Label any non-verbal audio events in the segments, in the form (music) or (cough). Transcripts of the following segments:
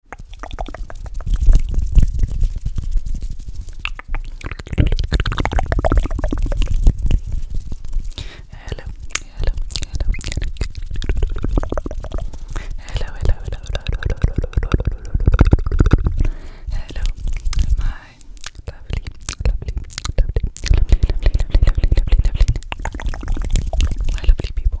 hello, hello, hello, hello, hello, hello, my lovely, lovely, lovely, lovely, lovely, lovely, lovely, lovely, lovely people.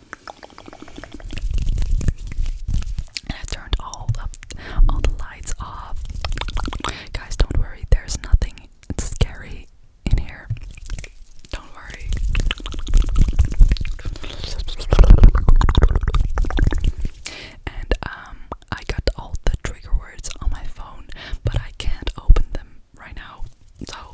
I turned all the all the lights off. Guys, don't worry, there's nothing scary in here. Don't worry. And um I got all the trigger words on my phone, but I can't open them right now. So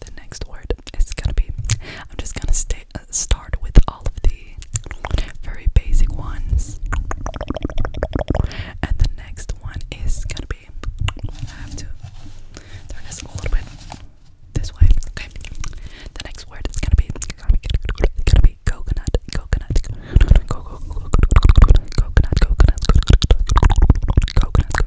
The next word is gonna be. I'm just gonna stay, start with all of the very basic ones, and the next one is gonna be. I have to turn this a little bit this way. Okay. The next word is gonna be. Gonna be. Coconut. Coconut. Coconut. Coconut. Coconut.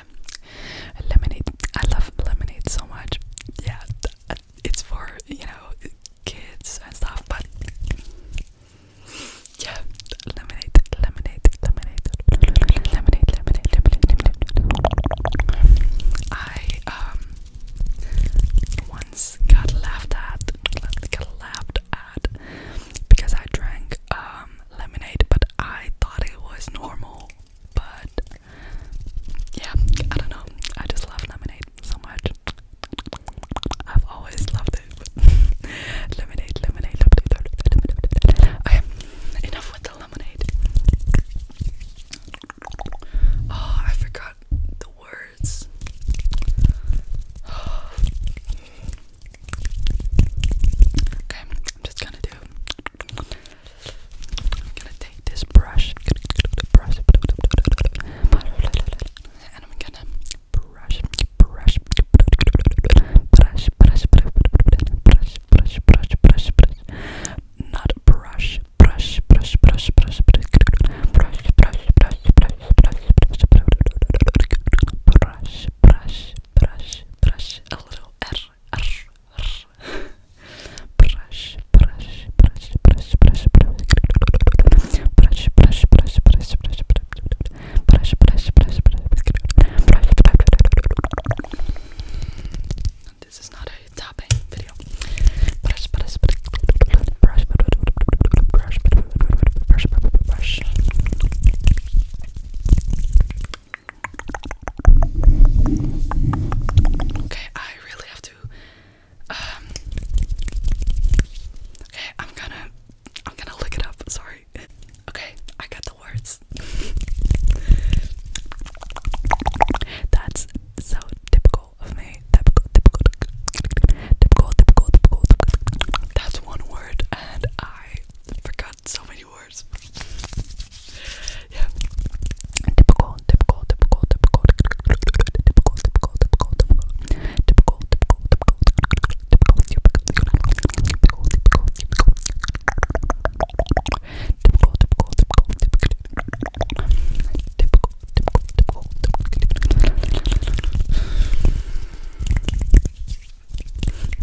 Okay, lemonade. I love lemonade so much. Yeah, it's for you know kids and stuff, but yeah, lemonade, lemonade, lemonade, lemonade, lemonade, lemonade, lemonade. I um once got laughed at, got laughed at because I drank um lemonade, but I thought it was normal. But yeah, I don't know. I just love lemonade so much. I've always loved it. (laughs) lemonade, lemonade, lemonade, lemonade. Okay, enough with the lemonade. Oh, I forgot the words. (sighs) Oh, Okay, I'm just gonna do. I'm gonna take this brush, brush, and I'm gonna brush, brush, brush, brush, brush, brush, brush, brush, brush, not brush, brush, brush, brush, brush, brush, brush, brush, brush, brush, brush, brush, brush, brush, brush, a little R brush, brush, brush, brush, brush, brush, brush, brush, brush, brush, brush, brush, brush, brush, brush. This is not a tapping video. Brush, brush, brush, brush, brush, brush, brush, brush, brush. Okay, I really have to. Um, okay, I'm gonna, I'm gonna look it up. Sorry. Okay, I got the words. That's so typical of me. Typical, typical, typical, typical, typical. That's one word, and I forgot god, so many words. yeah.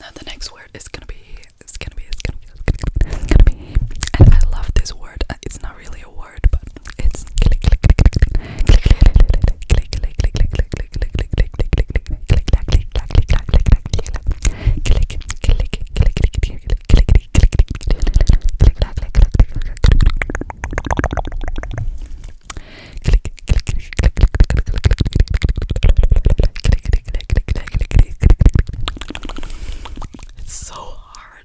now the next word is gonna be it's gonna be it's gonna be it's gonna be and I love this word. Uh, it's not really a word, but it's it's so hard.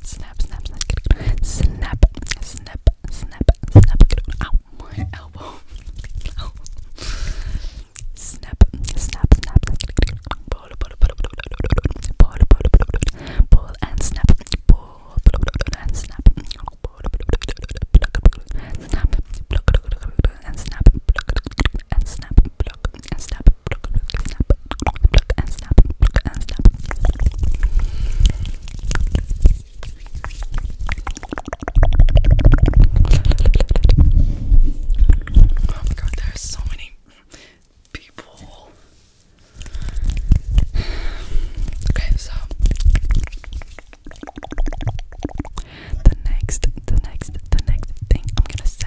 Snap, snap, snap, snap, snap, snap, snap. Ow, my elbow. Ow. Snap, snap, snap. Pull, pull, pull, pull, pull, pull, and snap. Pull, and snap. Pull, and snap. Snap, and snap. And snap pluck and snap, pluck, pluck and snap, pluck and snap, pluck and snap. Oh my god, there's so many people. Okay, so the next, the next, the next thing I'm gonna say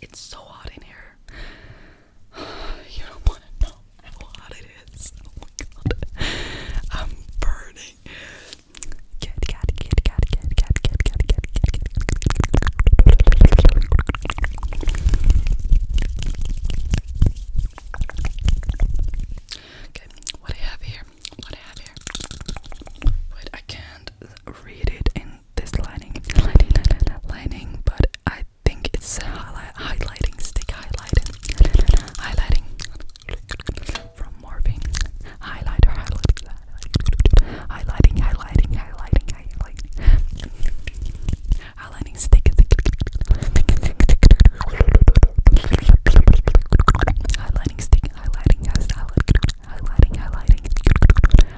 it's so hot in here. You don't want to know how hot it is. Oh my god. I'm burning. Get, get, get, get, get, get, get, get, get, get. Okay, what I have here, what I have here. Wait, I can't read it in this lining, lining, lining, but I think it's highlighting stick, highlighting, highlighting from Morphine, highlighter, highlighting, highlighting, highlighting, highlighting, highlighting, stick, highlighting stick, highlighting, highlighting, highlighting, highlighting,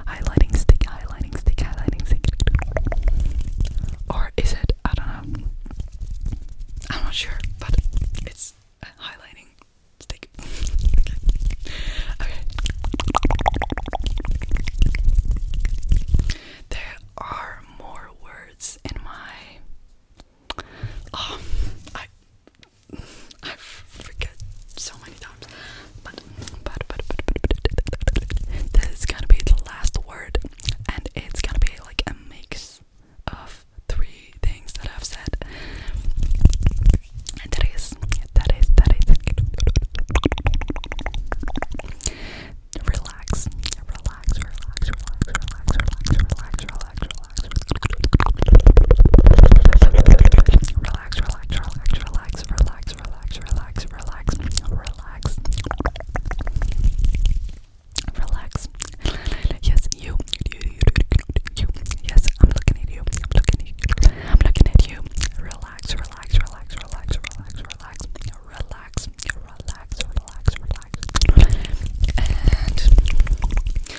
highlighting stick, highlighting stick, highlighting stick. Or is it? I don't know. I'm not sure, but it's highlighting stick. okay. There are more words in my. Oh, I forget so many times. But, but, but, but, but, but this is gonna be the last word, and it's gonna be like a mix of three things that I've said. And that is, that is, that is. Relax, relax, relax, relax, relax, relax, relax, relax, relax, relax, relax, relax, relax, relax, relax, relax, relax, relax, relax. Yes, you, you, you, you. Yes, I'm looking at you. I'm looking at you. I'm looking at you. Relax, relax, relax, relax, relax, relax, relax, relax, relax, relax, and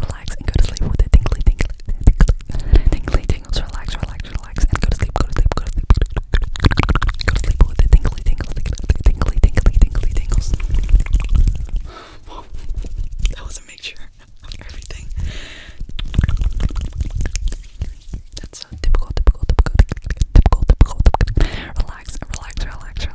relax and go to sleep with the tingly, tingly, tingly, tingly tingles. Relax, relax, relax, and go to sleep. Go to sleep. Go to sleep. Go to sleep, go to sleep with the tingly, tingles, tingly, tingly, tingly, tingly tingles. that was a mixture of everything. That's so typical, typical, typical, typical, typical, typical. Relax, relax, relax, relax,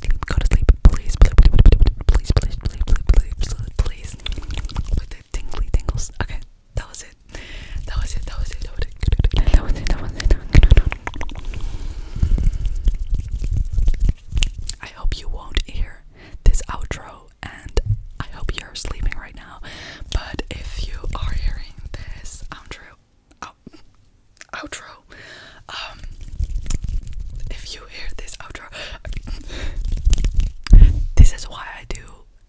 go to sleep, please, please, please, please, please, please, please, tingly tingles. Okay, that was it. That was it. That was it. That was it. That was it. That was it. I hope you won't hear this outro, and I hope you're sleeping right now. But if you are hearing this outro, oh, outro. Um, if you hear this outro, this is why I do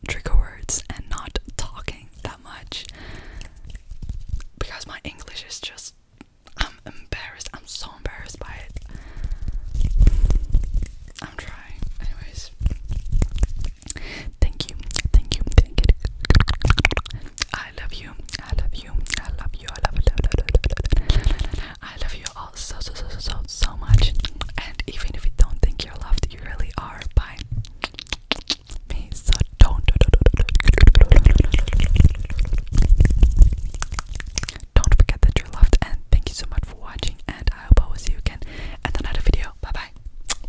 trigger words and not talking that much because my English is just. I'm embarrassed. I'm so embarrassed by it. I'm trying. Anyways. Thank you. Thank you. I love you. I love I love you. I love you. I love you all so so so so so much. And even if you don't think you're loved, you really are by me. So don't don't forget that you're loved. And thank you so much for watching. And I hope I will see you again at another video. Bye bye.